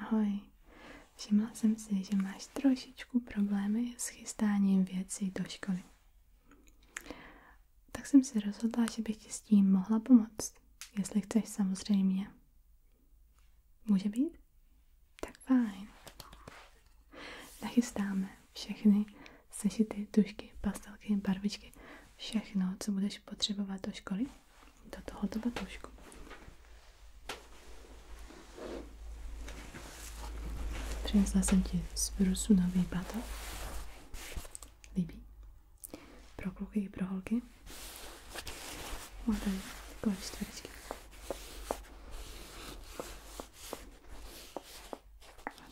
Ahoj, všimla jsem si, že máš trošičku problémy s chystáním věcí do školy. Tak jsem si rozhodla, že bych ti s tím mohla pomoct, jestli chceš samozřejmě. Může být? Tak fajn. Nachystáme všechny sešity, tušky, pastelky, barvičky, všechno, co budeš potřebovat do školy do tohoto batoušku. Přinesla jsem ti z Virusu nový batoh. Líbí? Pro kluky i pro holky. Má tady takové čtverečky.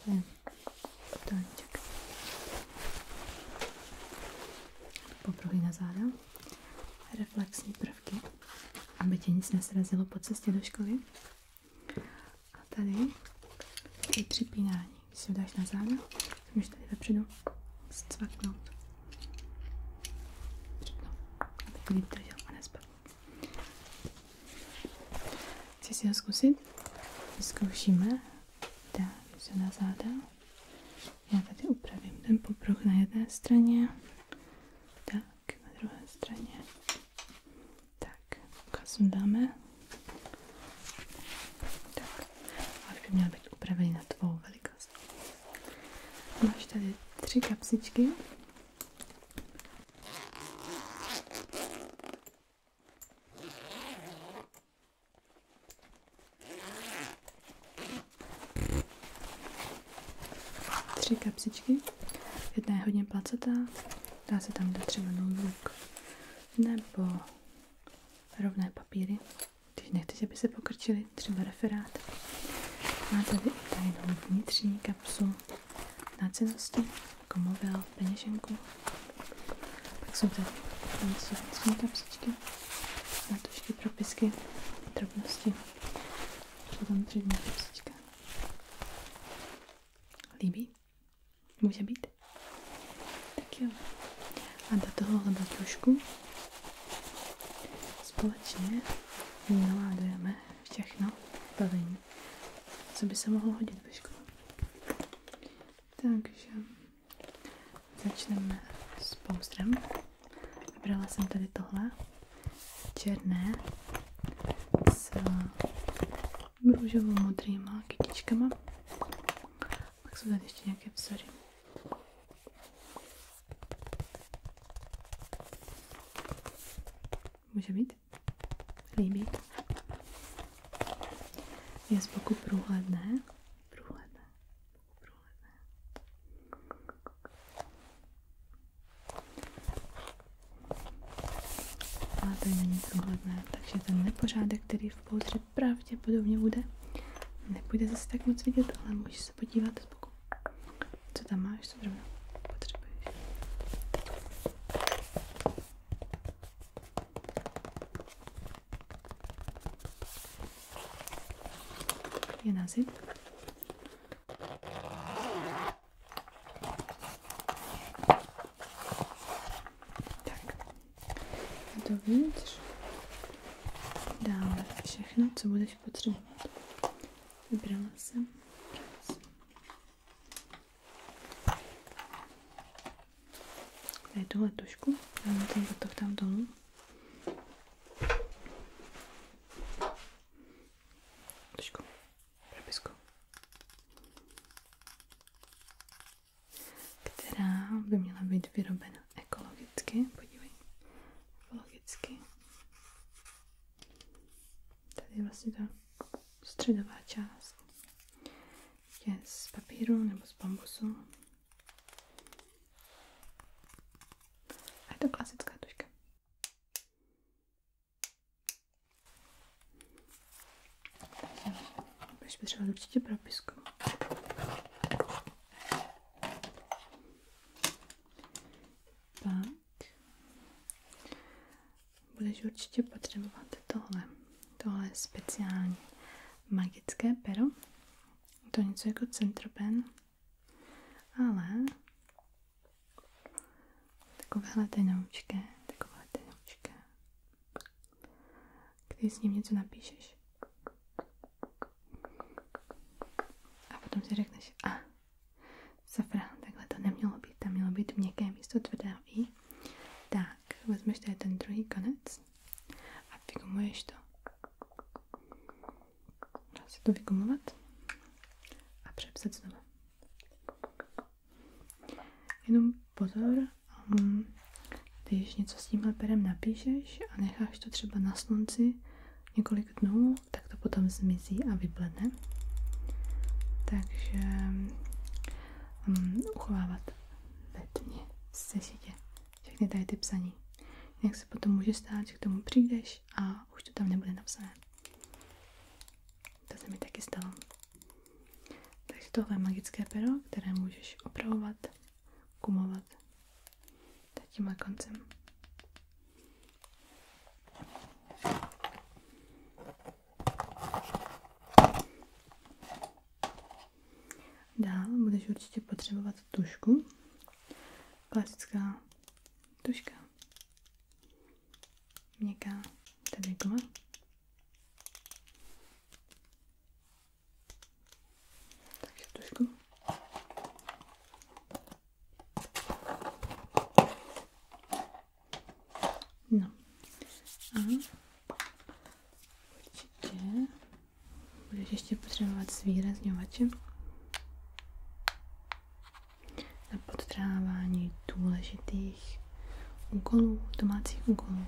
Má reflexní prvky, aby tě nic nesrazilo po cestě do školy. A tady je připínání. Když si dáš na záda, můžeš tady vepředu cvaknout. Připnout, aby to líp držel a nespadl. Chci si ho zkusit? Vyzkoušíme. Dáme se na záda. Já tady upravím ten popruh na jedné straně. Tak, na druhé straně. Tak, kasu dáme. Tak, a už by měl být upravený na tvou velikost. Máš tady tři kapsičky. Tři kapsičky. Jedna je hodně placatá, dá se tam dát třeba notebook nebo rovné papíry, když nechceš, aby se pokrčili, třeba referát. Má tady i tajnou vnitřní kapsu na cenosti, jako mobil, peněženku. Pak jsou tady vnitřní kapsičky na tuž ještě propisky, drobnosti. Potom tři dny Líbí? Může být? Tak jo. A do tohohle batušku společně naládujeme všechno bavení, co by se mohlo hodit ve škole. Takže... Začneme s pouzdrem. Vybrala jsem tady tohle černé s růžovou modrýma kytičkama. Pak jsou tady ještě nějaké vzory. Může být? Líbí. Je z boku průhledné průlevem. A není průhledné, takže ten nepořádek, který v pouzdře pravděpodobně bude, nepůjde zase tak moc vidět, ale můžeš se podívat z Co tam máš, co zrovna potřebuješ je na zip. Tak, dovnitř dáme všechno, co budeš potřebovat. Vybrala jsem. Tady tuhle tušku, dáme ten botov tam dolů. Tušku, propisku. Která by měla být vyrobena ekologicky, podívej, ekologicky. Tady je vlastně ta středová část je z papíru nebo z bambusu. A je to klasická tuška. Takže budeš potřebovat určitě propisku. Pak budeš určitě potřebovat tohle tohle speciální magické pero. To je něco jako centropen, ale takovéhle tenoučké, takové tenoučké. Když s ním něco napíšeš a potom si řekneš, a ah, safrán, takhle to nemělo být, tam mělo být měkké místo tvrdého i. Tak, vezmeš tady ten druhý konec relax vlastně. a vygumuješ to. Dá se to vygumovat a přepsat znovu. Jenom pozor, um, když něco s tímhle perem napíšeš a necháš to třeba na slunci několik dnů, tak to potom zmizí a vybledne. Takže um, uchovávat ve tmě v sešitě všechny tady ty psaní. Jak se potom může stát, že k tomu přijdeš a už to tam nebude napsané. To se mi taky stalo. Takže tohle je magické pero, které můžeš opravovat, kumovat tímhle koncem. Dál budeš určitě potřebovat tušku. Klasická tuška. Měkká tady guma. tušku. No. A Určitě. Budeš ještě potřebovat zvýrazňovače. Na podtrávání důležitých úkolů, domácích úkolů,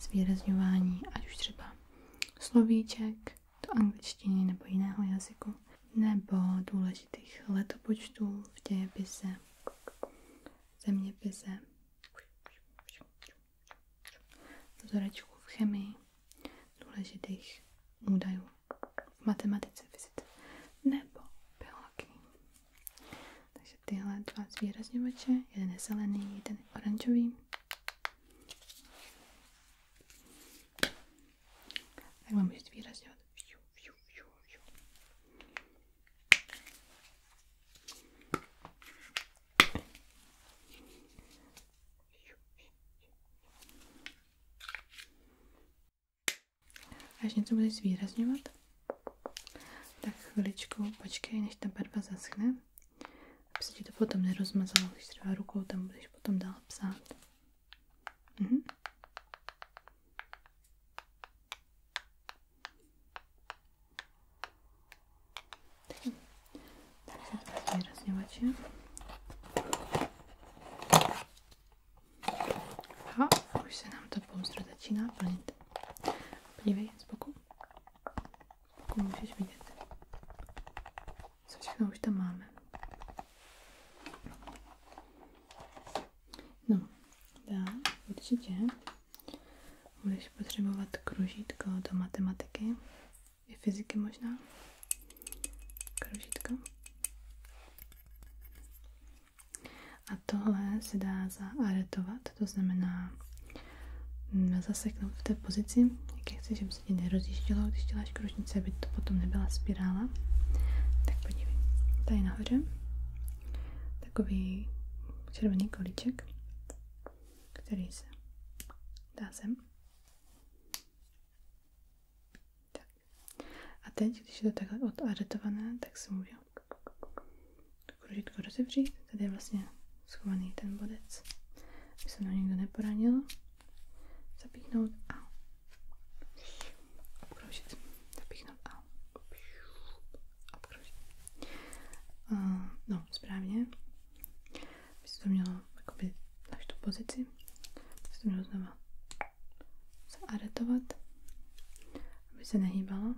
zvýrazňování, ať už třeba slovíček do angličtiny nebo jiného jazyku, nebo důležitých letopočtů v dějepise, zeměpise vzorečků v chemii, důležitých údajů v matematice, fyzice nebo biologii. Takže tyhle dva zvýrazňovače, jeden je zelený, jeden je oranžový. Tak vám můžete zvýrazňovat. Až něco budeš zvýrazňovat, tak chviličku počkej, než ta barva zaschne, aby ti to potom nerozmazalo, když třeba rukou tam budeš potom dál psát. Mhm. Teraz raz nie macie. A, się nam to pomstro začíná plnit. Podívej, z boku. Z boku můžeš vidět, co všechno už tam máme. No, da, widzicie. Budeš potřebovat kružítko do matematiky, i fyziky možná. Kružítko. A tohle se dá zaaretovat, to znamená mm, zaseknout v té pozici, jak chceš, aby se ti nerozjíždělo, když děláš kružnice, aby to potom nebyla spirála. Tak podívej, tady nahoře takový červený kolíček, který se dá sem. Tak. A teď, když je to takhle odaretované, tak se může kružítko rozevřít. Tady je vlastně schovaný ten bodec, aby se mnou nikdo neporanil. Zapíchnout a obkroužit. Zapíchnout a obkružit. Uh, no, správně. By se to mělo jakoby až tu pozici. By se to mělo znova zaaretovat, aby se nehýbalo.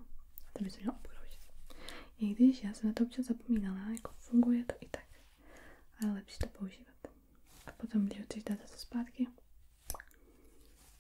to by se mělo obkružit. I když já jsem na to občas zapomínala, jako funguje to i tak. Ale lepší to používat. A potom, když ho chceš dát zase zpátky,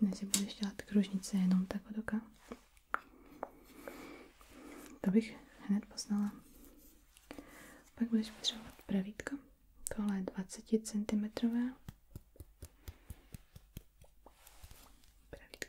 Než budeš dělat kružnice jenom tak od oka. To bych hned poznala. Pak budeš potřebovat pravítko. Tohle je 20 cm. Pravítko.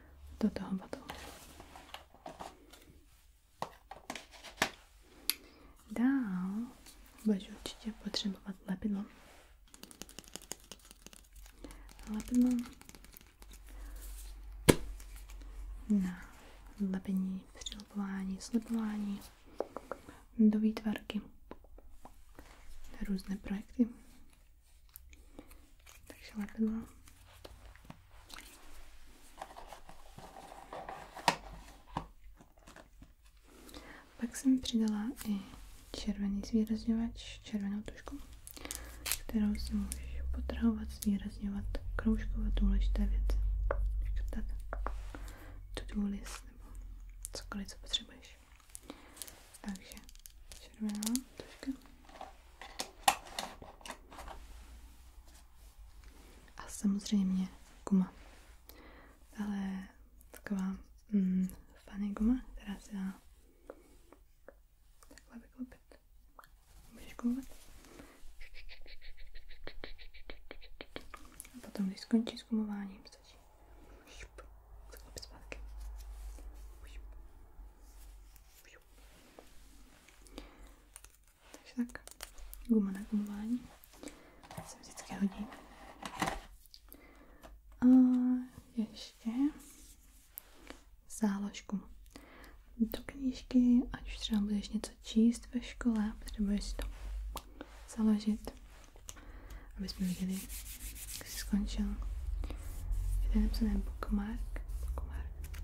do toho botu. Dál budeš určitě potřebovat lepidlo. Lepidlo na lepení, přilepování, slepování do výtvarky, na různé projekty, takže Pak jsem přidala i červený zvýrazňovač, červenou tušku, kterou si můžeš potrhovat, zvýrazňovat, kroužkovat důležité věci. Jako tak, to do list nebo cokoliv, co potřebuješ. Takže červená troška. A samozřejmě guma. Ale taková mm, fany guma, která se dá takhle vyklopit. Můžeš gumovat. A potom, když skončí s gumováním, stačí šup, takže tak, guma na gumování se vždycky hodí. A ještě záložku. Do knížky, ať už třeba budeš něco číst ve škole, potřebuješ si to založit, aby jsme viděli, skončil. Je tady napsané bookmark. bookmark.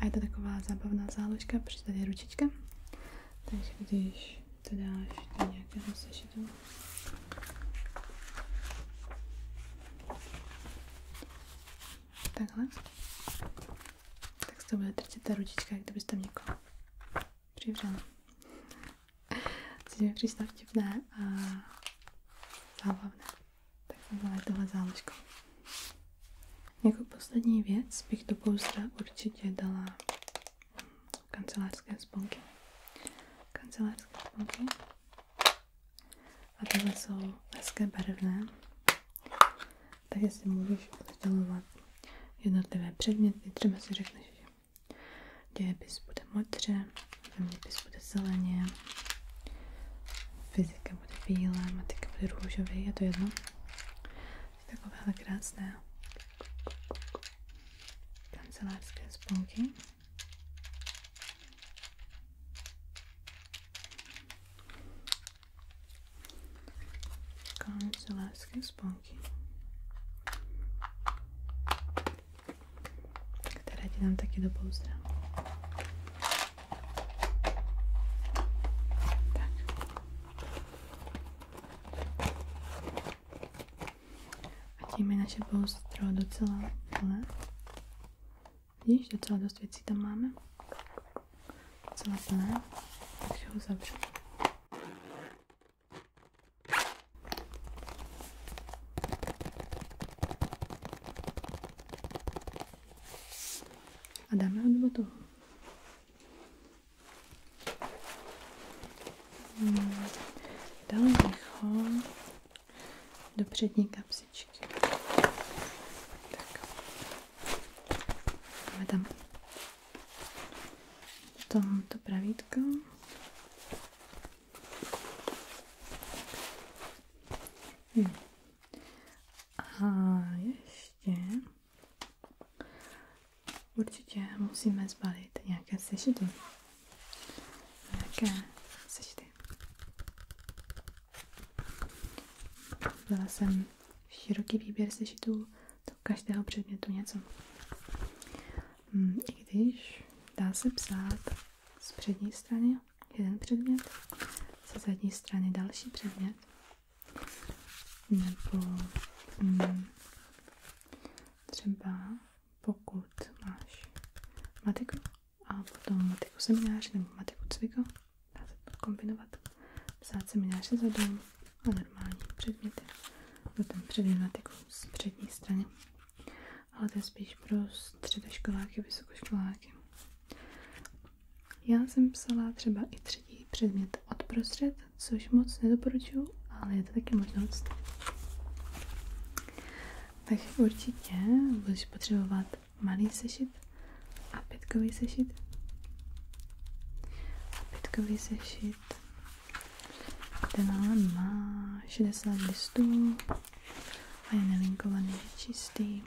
A je to taková zábavná záložka, protože tady je ručička. Takže když to dáš do nějakého sešitu, takhle, tak z toho bude trčet ta ručička, jak kdybyste tam někoho přivřela. Což mi přišlo vtipné a zábavné. Tak tohle tohle záležko. Jako poslední věc bych do pouzdra určitě dala mm, kancelářské sponky. Kancelářské sponky. A tohle jsou hezké barevné. Takže si můžeš oddělovat jednotlivé předměty. Třeba si řekneš, že Dějepis bude modře, zeměpis bude zeleně, fyzika bude bílá, matika bude růžový, je to jedno. Je takovéhle krásné kancelářské sponky. Kancelářské sponky které ti dám taky do pouzdra. A tím je naše pouzdro docela plné. Vidíš, docela dost věcí tam máme. Docela plné. Takže ho zavřu. A dáme ho do toho. Hmm, Dali bych ho do přední kapsičky. Tak. Máme tam to pravítko. Hm. A ještě určitě musíme zbalit nějaké sešity. Nějaké sešity. Byla jsem široký výběr sešitů do každého předmětu něco. Hm, i když dá se psát z přední strany jeden předmět, ze zadní strany další předmět, nebo mm, třeba pokud máš matiku a potom matiku seminář nebo matiku cviko, dá se to kombinovat, psát seminář zezadu a normální předměty. Byl tam předmět jako z přední strany, ale to je spíš pro středoškoláky, vysokoškoláky. Já jsem psala třeba i třetí předmět od prostřed, což moc nedoporučuju, ale je to taky možnost. Tak určitě budeš potřebovat malý sešit a pětkový sešit a pětkový sešit ten má 60 listů a je nelinkovaný, je čistý.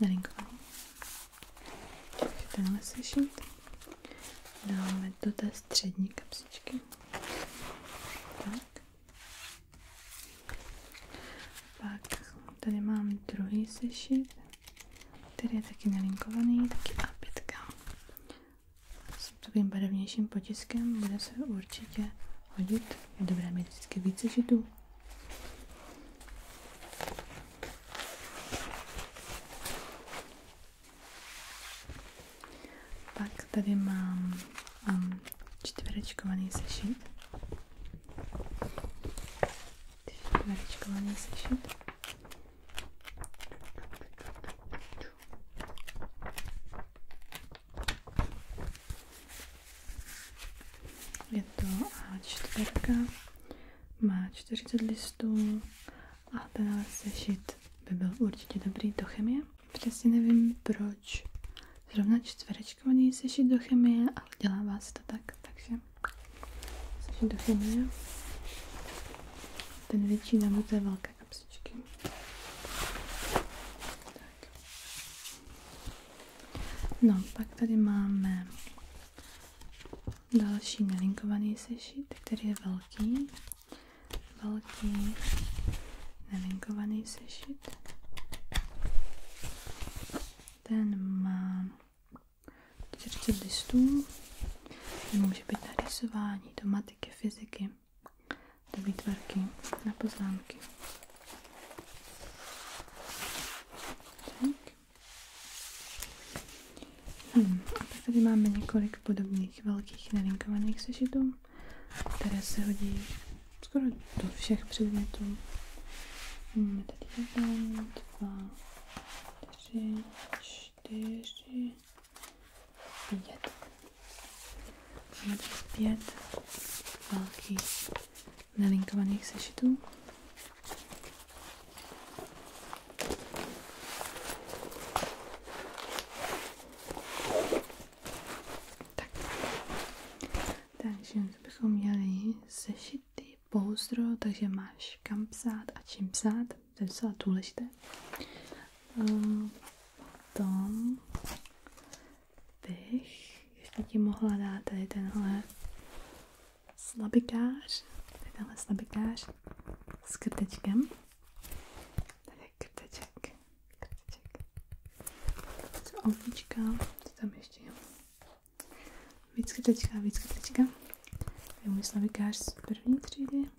Nelinkovaný. Takže tenhle sešit. Dáme do té střední kapsičky. Tak. Pak tady mám druhý sešit, který je taky nelinkovaný, taky A5. S takovým barevnějším potiskem bude se určitě hodit. Je dobré mít vždycky víc sešitů. Pak tady mám um, čtverečkovaný sešit. Naričkovaný Je to A4, má 40 listů a tenhle sešit by byl určitě dobrý do chemie. Přesně nevím, proč zrovna čtverečkový sešit do chemie, ale dělá vás to tak, takže sešit do chemie. Ten větší nebo je velké kapsičky. Tak. No, pak tady máme další nelinkovaný sešit, který je velký. Velký nelinkovaný sešit. Ten má 40 listů. Ten může být na rysování, do matiky, fyziky, do výtvarky, na poznámky. Hmm. A pak tady máme několik podobných velkých nelinkovaných sešitů které se hodí skoro do všech předmětů. Máme tady jeden, dva, tři, čtyři, pět. Máme tady pět velkých nelinkovaných sešitů. Tak. Takže bychom měli sešity, pouzdro, takže máš kam psát a čím psát, to je docela důležité. Potom bych ještě ti mohla dát tady tenhle slabikář, tady tenhle slabikář s krtečkem tady krteček, krteček. Co ovnička, co tam ještě jo. Víc krtečka, víc krtečka. To je můj slavikář z první třídy.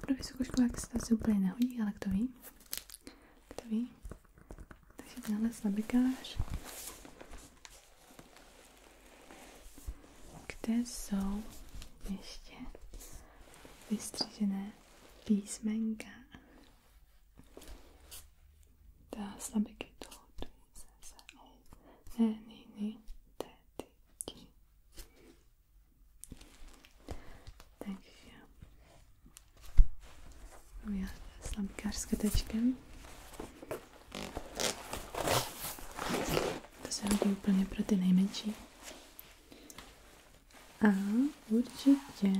Pro vysokoškoláky se to asi úplně nehodí, ale kdo ví? Kdo ví? Takže tenhle slabikář. Kde jsou ještě vystřížené písmenka? Tässä bekitoutumisensa on identiteetti. Takže já slamkářské tečkem. To se hodí úplně pro ty nejmenší. A určitě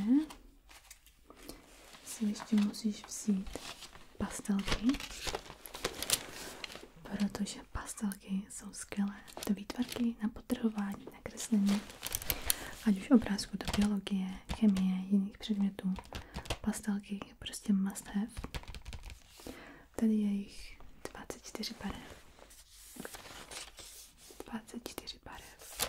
si ještě musíš vzít pastelky, protože pastelky jsou skvělé to výtvarky, na potrhování, na kreslení, ať už obrázku do biologie, chemie, jiných předmětů. Pastelky je prostě must have. Tady je jich 24 barev. 24 barev.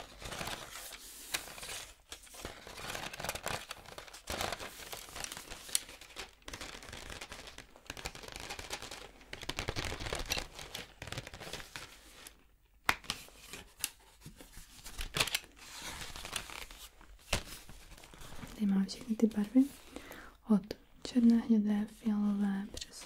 Tady mám všechny ty barvy od černé, hnědé, fialové přes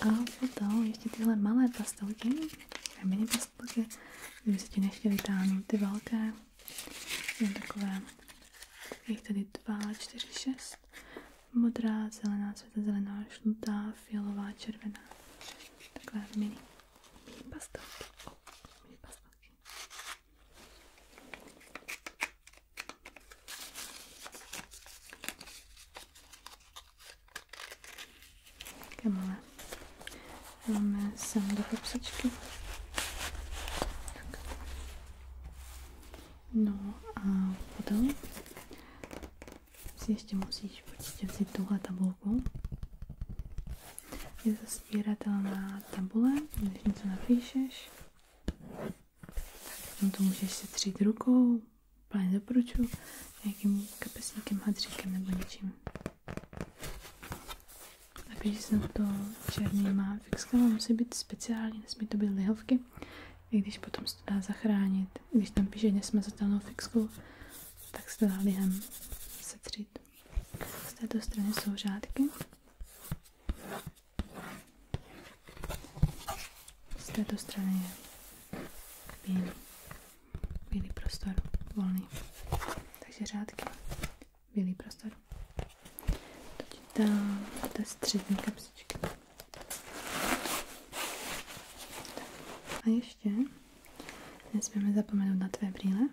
A potom ještě tyhle malé pastelky, mini pastelky, kdyby se ti nechtěli táhnout ty velké, jen takové, jich tady dva, čtyři, šest. modrá, zelená, světa zelená, žlutá, fialová, červená, takové mini, mini mini pastelky. Také malé. Dáme sem do kapsičky. No a potom si ještě musíš určitě vzít tuhle tabulku. Je zasbíratelná tabule, když něco napíšeš, tak to můžeš setřít rukou, plně doporučuji, nějakým kapesníkem, hadříkem nebo něčím. Takže jsem to černý má fixka, musí být speciální, nesmí to být lihovky, i když potom se to dá zachránit. Když tam píše nesmazatelnou fixku, tak se to dá lihem setřít. Z této strany jsou řádky. Z této strany je bílý, bílý prostor, volný. Takže řádky, bílý prostor. Teď ta té střední kapsičky. A ještě nesmíme zapomenout na tvé brýle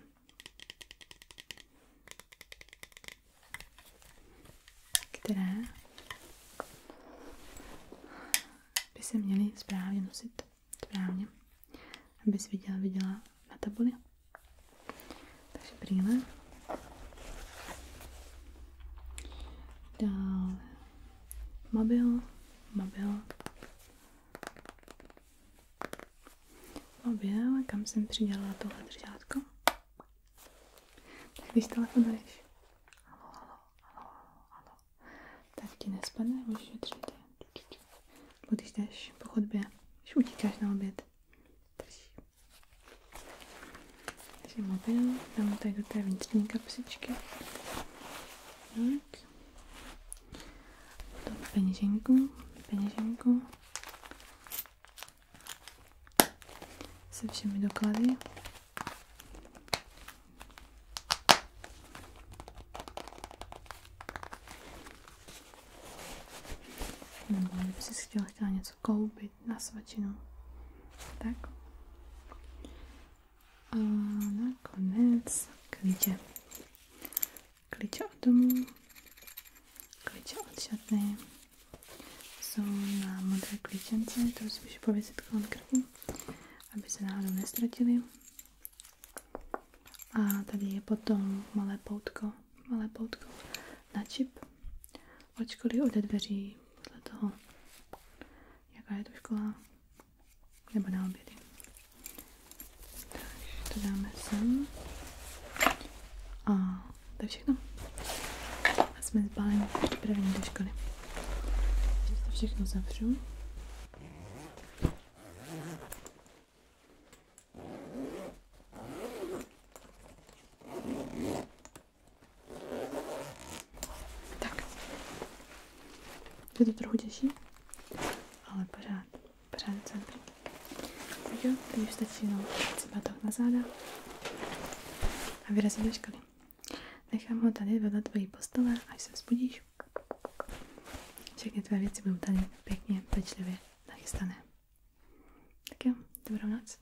které by se měly správně nosit správně, abys viděla, viděla na tabuli. Takže brýle. Dále mobil, mobil. Mobil, kam jsem přidělala tohle držátko. Tak když telefonuješ, halo, halo, halo, halo, tak ti nespadne, můžeš držet. Nebo když jdeš po chodbě, když utíkáš na oběd, drží. Takže mobil, dám tady do té vnitřní kapsičky. Tak. Potom peněženku, peněženku. se všemi doklady. Nebo kdyby si chtěla, chtěla něco koupit na svačinu. Tak. A nakonec klíče. Klíče od domu, klíče od šatny. jsou na modré klíčence, to si můžu pověsit konkrétně, aby se náhodou nestratili. A tady je potom malé poutko, malé poutko na čip. Očkoli ode dveří, podle toho, jaká je to škola, nebo na obědy. Takže to dáme sem. A to je všechno. A jsme zbaleni připraveni do školy. Teď to všechno zavřu. Tak. Je to trochu těžší, ale pořád, pořád jsem Jo, teď už stačí jenom na záda a vyrazí do školy. Nechám ho tady vedle tvojí postele, až se vzbudíš. Všechny tvé věci budou tady pěkně, pečlivě nachystané. Tak jo, dobrou noc.